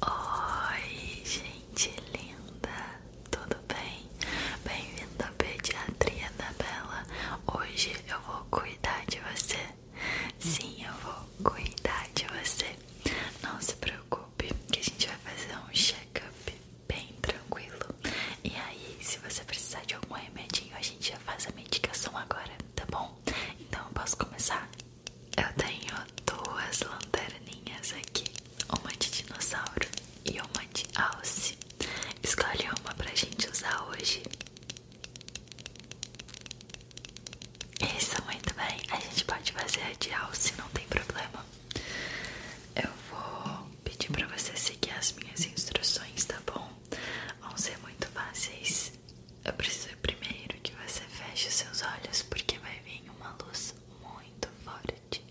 Oi, gente linda, tudo bem? Bem-vindo à Pediatria da Bela. Hoje eu vou cuidar de você. Sim, eu vou cuidar de você. Não se preocupe, que a gente vai fazer um check-up bem tranquilo. E aí, se você precisar de algum remedinho, a gente já faz a medicação agora, tá bom? Então eu posso começar? Eu tenho duas lanterninhas aqui, uma de dinossauro e uma de alce. Escolhe uma pra gente usar hoje. Isso, muito bem. A gente pode fazer a de alce, não tem problema. Eu vou pedir pra você seguir as minhas instruções, tá bom? Vão ser muito fáceis eu preciso primeiro que você feche seus olhos porque vai vir uma luz muito forte,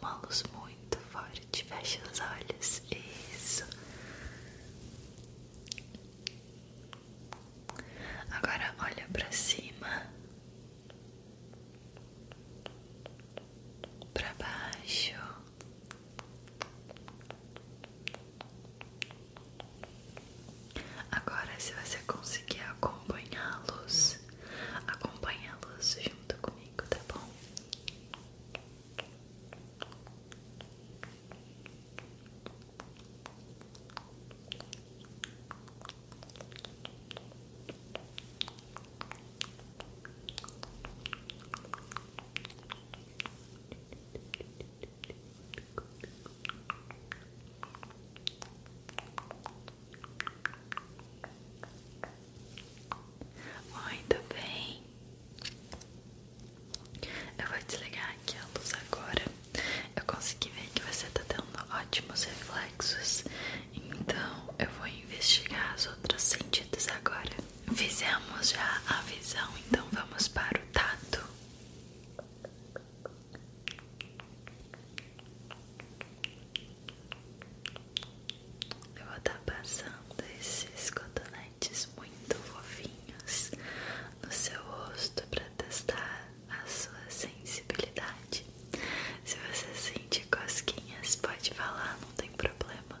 uma luz muito forte. Feche os olhos, isso. Agora olha para cima, para baixo, Agora, se você conseguir acompanhá-los, acompanhá-los junto comigo, tá bom? tudo bem. Eu vou desligar aqui a luz agora. Eu consegui ver que você tá tendo ótimos reflexos. Então eu vou investigar os outros sentidos agora. Fizemos já a visão, então vamos para o tato. Eu vou estar tá passando esses cotonetes muito fofinhos no seu rosto para testar a sua sensibilidade. Se você sente cosquinhas, pode falar, não tem problema.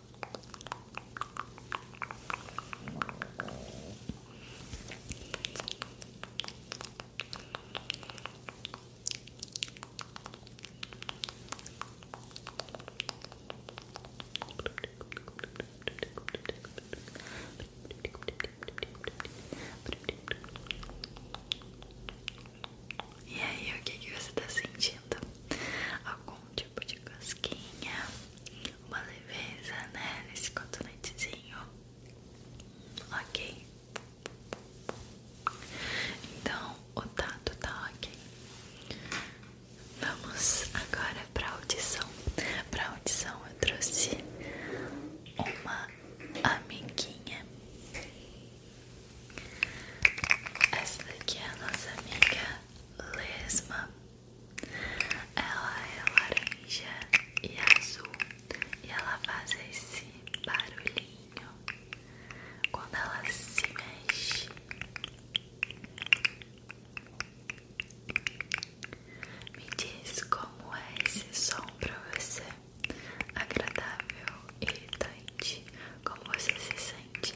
E aí, o que, você está sentindo? Algum tipo de casquinha? uma leveza, né? Nesse cotonetezinho. Ok. Então, o dado tá ok. Vamos agora pra audição. Pra audição eu trouxe uma amiguinha. Essa daqui é a nossa amiga Lesma. Ela é laranja e azul e ela faz esse barulhinho quando ela se mexe. Me diz como é esse som para você. Agradável, e irritante, como você se sente?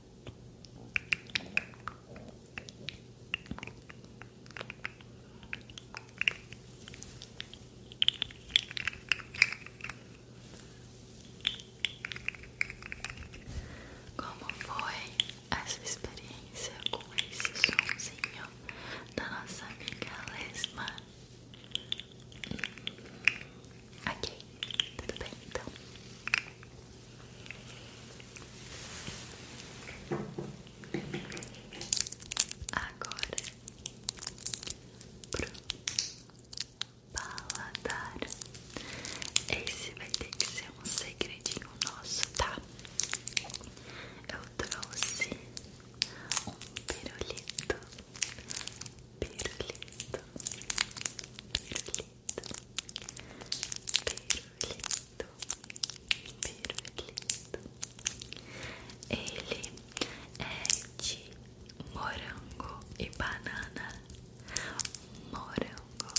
Como foi essa experiência com esse somzinho da nossa amiga Lesma? Ok, tudo bem então. Agora pro paladar. Esse vai ter que ser um segredinho nosso, tá? Eu trouxe um pirulito Perlito, perlito, perlito, perlito. Ele é de morango e banana. Morango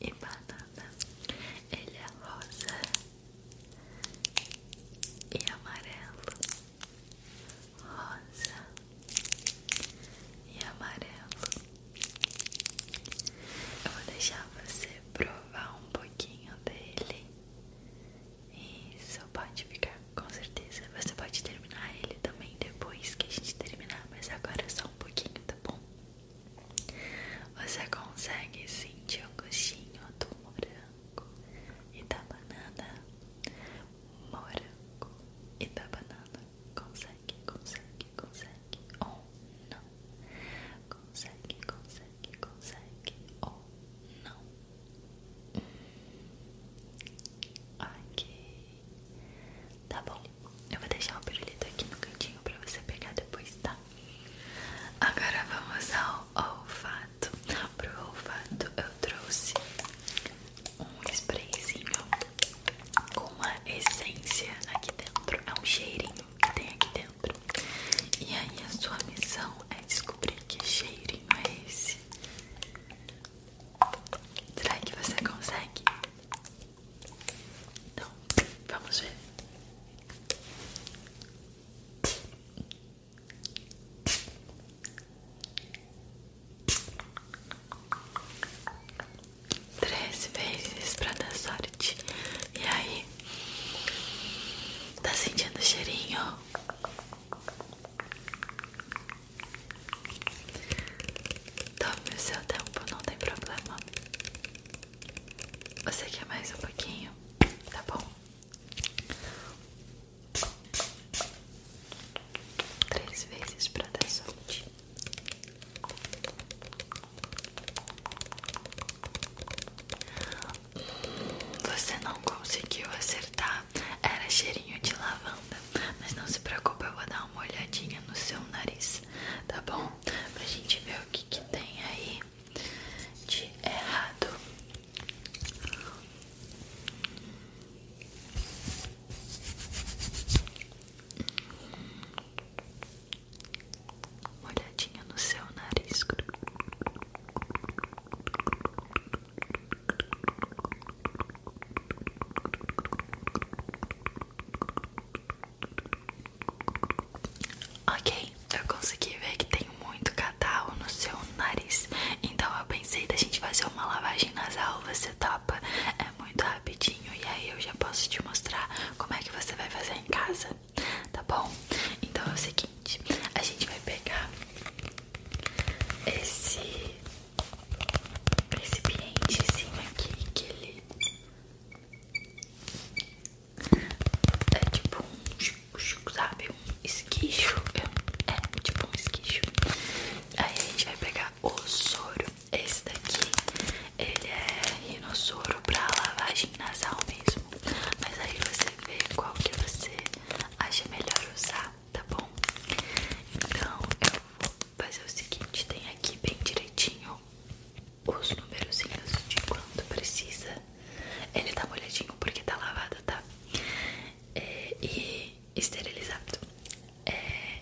e banana. Ele é rosa e amarelo rosa e amarelo. Eu vou deixar você provar um pouquinho dele. Isso, pode ficar, com certeza. Você pode terminar ele também depois que a gente terminar, mas agora é só um pouquinho, tá bom? Você consegue sentir o um gostinho do morango e da banana? morango e da banana. Consegue, consegue, consegue. Ou oh, não. Consegue, consegue, consegue. Ou oh, não. Ok. Tá bom. Eu vou deixar o pirulito aqui no cantinho pra você pegar depois, tá? Agora vamos ao olfato. Pro olfato eu trouxe um sprayzinho com uma essência aqui dentro. É um cheirinho que tem aqui dentro. E aí a sua missão é descobrir que cheirinho é esse. Será que você consegue? Então, vamos ver. Três vezes pra dar sorte. E aí? Tá sentindo o cheirinho? Tome o seu tempo, não tem problema. Você quer mais um pouquinho? Tá bom? Três vezes para dar sorte. Você não conseguiu acertar. Era cheirinho de lavanda. Mas não se preocupe, eu vou dar uma olhadinha no seu nariz, tá bom? Pra gente ver o que, que tem aí de errado. Uma olhadinha no seu nariz. Ok, eu consegui ver que muito catarro no seu nariz. Então eu pensei da gente fazer uma lavagem nasal, você topa? É muito rapidinho e aí eu já posso te mostrar como é que você vai fazer em casa, tá bom? Então é o seguinte, a gente vai pegar esse recipientezinho aqui que ele é tipo um sabe? Um esquicho. É, é, tipo um esquicho. Aí a gente vai pegar o soro. Esse daqui, ele é rinossoro pra lavagem nasal mesmo. Mas aí você vê qual que você acha melhor usar, tá bom? Então eu vou fazer o seguinte: tem aqui bem direitinho os númerozinhos de quanto precisa ele tá molhadinho porque tá lavado, tá? É, e esterilizado. É,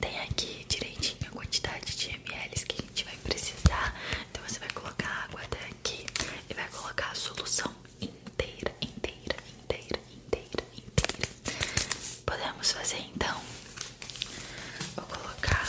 tem aqui direitinho a quantidade de ml que a gente vai precisar. Então você vai colocar a água até aqui e vai colocar a solução inteira, inteira, inteira, inteira, inteira. Podemos fazer então. Vou colocar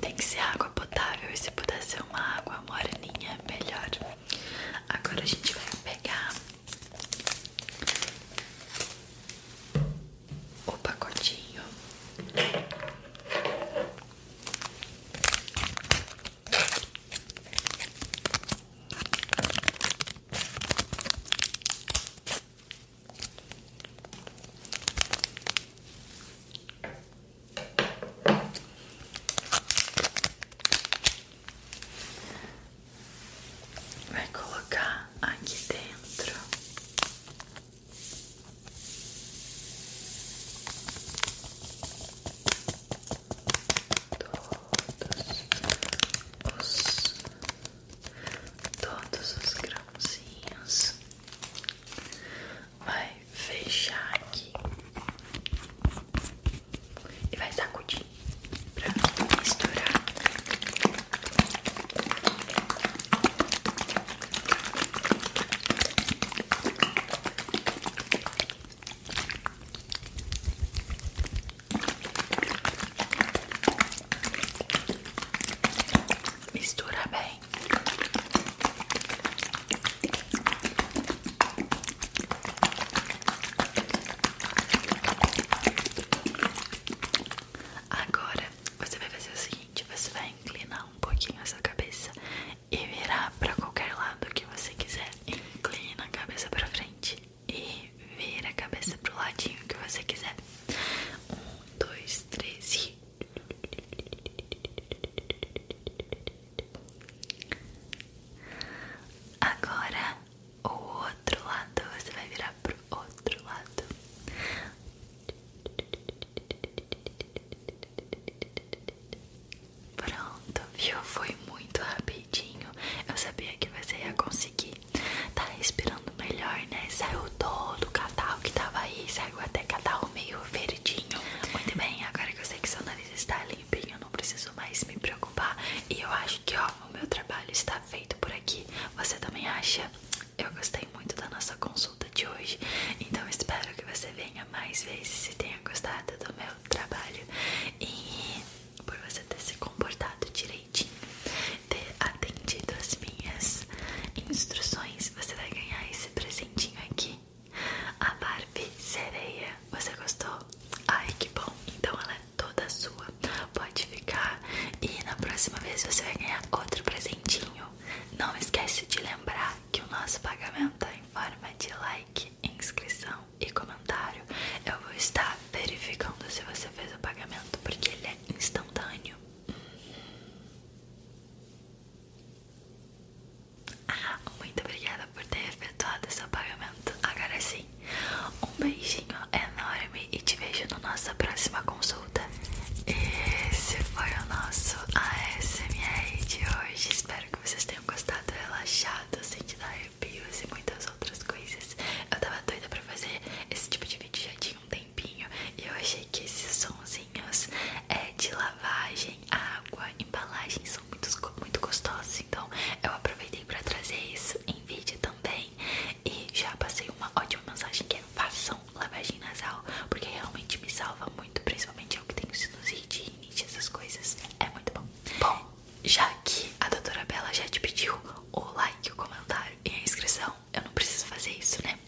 Tem que ser água potável e se puder ser uma água moreninha, melhor. Agora a gente vai pegar o pacotinho. Vai colocar aqui dentro. Todos os todos os grãozinhos, vai fechar aqui e vai sacudir pra misturar. Mistura bem. Agora você vai fazer o seguinte: você vai inclinar um pouquinho a sua cabeça e virar para qualquer lado que você quiser. Inclina a cabeça para frente e vira a cabeça pro ladinho que você quiser. Um, dois, três Agora o outro lado, você vai virar pro outro lado. Pronto, viu? Foi muito rapidinho. Eu sabia que você ia conseguir. Tá respirando melhor, né? Saiu todo o catarro que tava aí, saiu até catarro meio verdinho. Muito bem, agora que eu sei que seu nariz está limpinho, eu não preciso mais me preocupar. E eu acho que, ó, o meu trabalho está feito por aqui. Você também acha? Eu gostei muito da nossa consulta de hoje, então espero que você venha mais vezes e tenha gostado do meu trabalho. E por você ter se comportado direito ter atendido as minhas instruções, você vai ganhar esse presentinho aqui. A Barbie Sereia, você gostou? Ai que bom, então ela é toda sua, pode ficar e na próxima vez você vai ganhar outro presentinho. Não esquece de lembrar que o nosso pagamento é em forma de like, inscrição e comentário. Eu vou estar verificando se você fez o pagamento, porque ele é instantâneo. Ah, muito obrigada por ter efetuado esse pagamento. Agora sim, um beijinho enorme e te vejo na nossa próxima consulta. Esse foi o nosso ASMR de hoje. Espero que vocês tenham gostado, relaxado, sentido arrepios e muitas outras coisas. Eu tava doida pra fazer esse tipo de vídeo já tinha um tempinho. E eu achei que esses sonsinhos é, de lavagem, água, embalagem são muito, muito gostosos. Então eu aproveitei pra trazer isso em vídeo também. E já passei uma ótima mensagem que é façam lavagem nasal, porque realmente me salva muito, principalmente eu que tenho sinusite, rinite, essas coisas. É muito bom. Bom, já que a doutora Bela já te pediu o like, o comentário e a inscrição, eu não preciso fazer isso, né?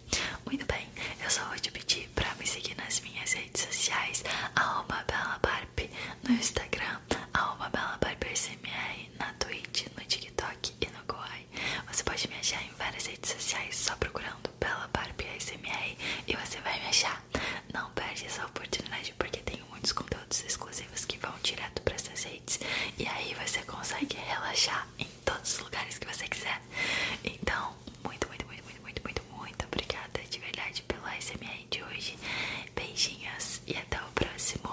Muito bem, eu só vou te pedir para me seguir nas minhas redes sociais, arroba belabarp no Instagram, arroba belabarpsmr na Twitch, no TikTok e no Goai. Você pode me achar em várias redes sociais só procurando Bela Barp ASMR e você vai me achar. Não perde essa oportunidade porque tem muitos conteúdos exclusivos que vão direto para essas redes. E aí você consegue relaxar em todos os lugares que você quiser. Então, muito, muito, muito, muito, muito, muito, muito obrigada de verdade pelo SMR de hoje. Beijinhos e até o próximo.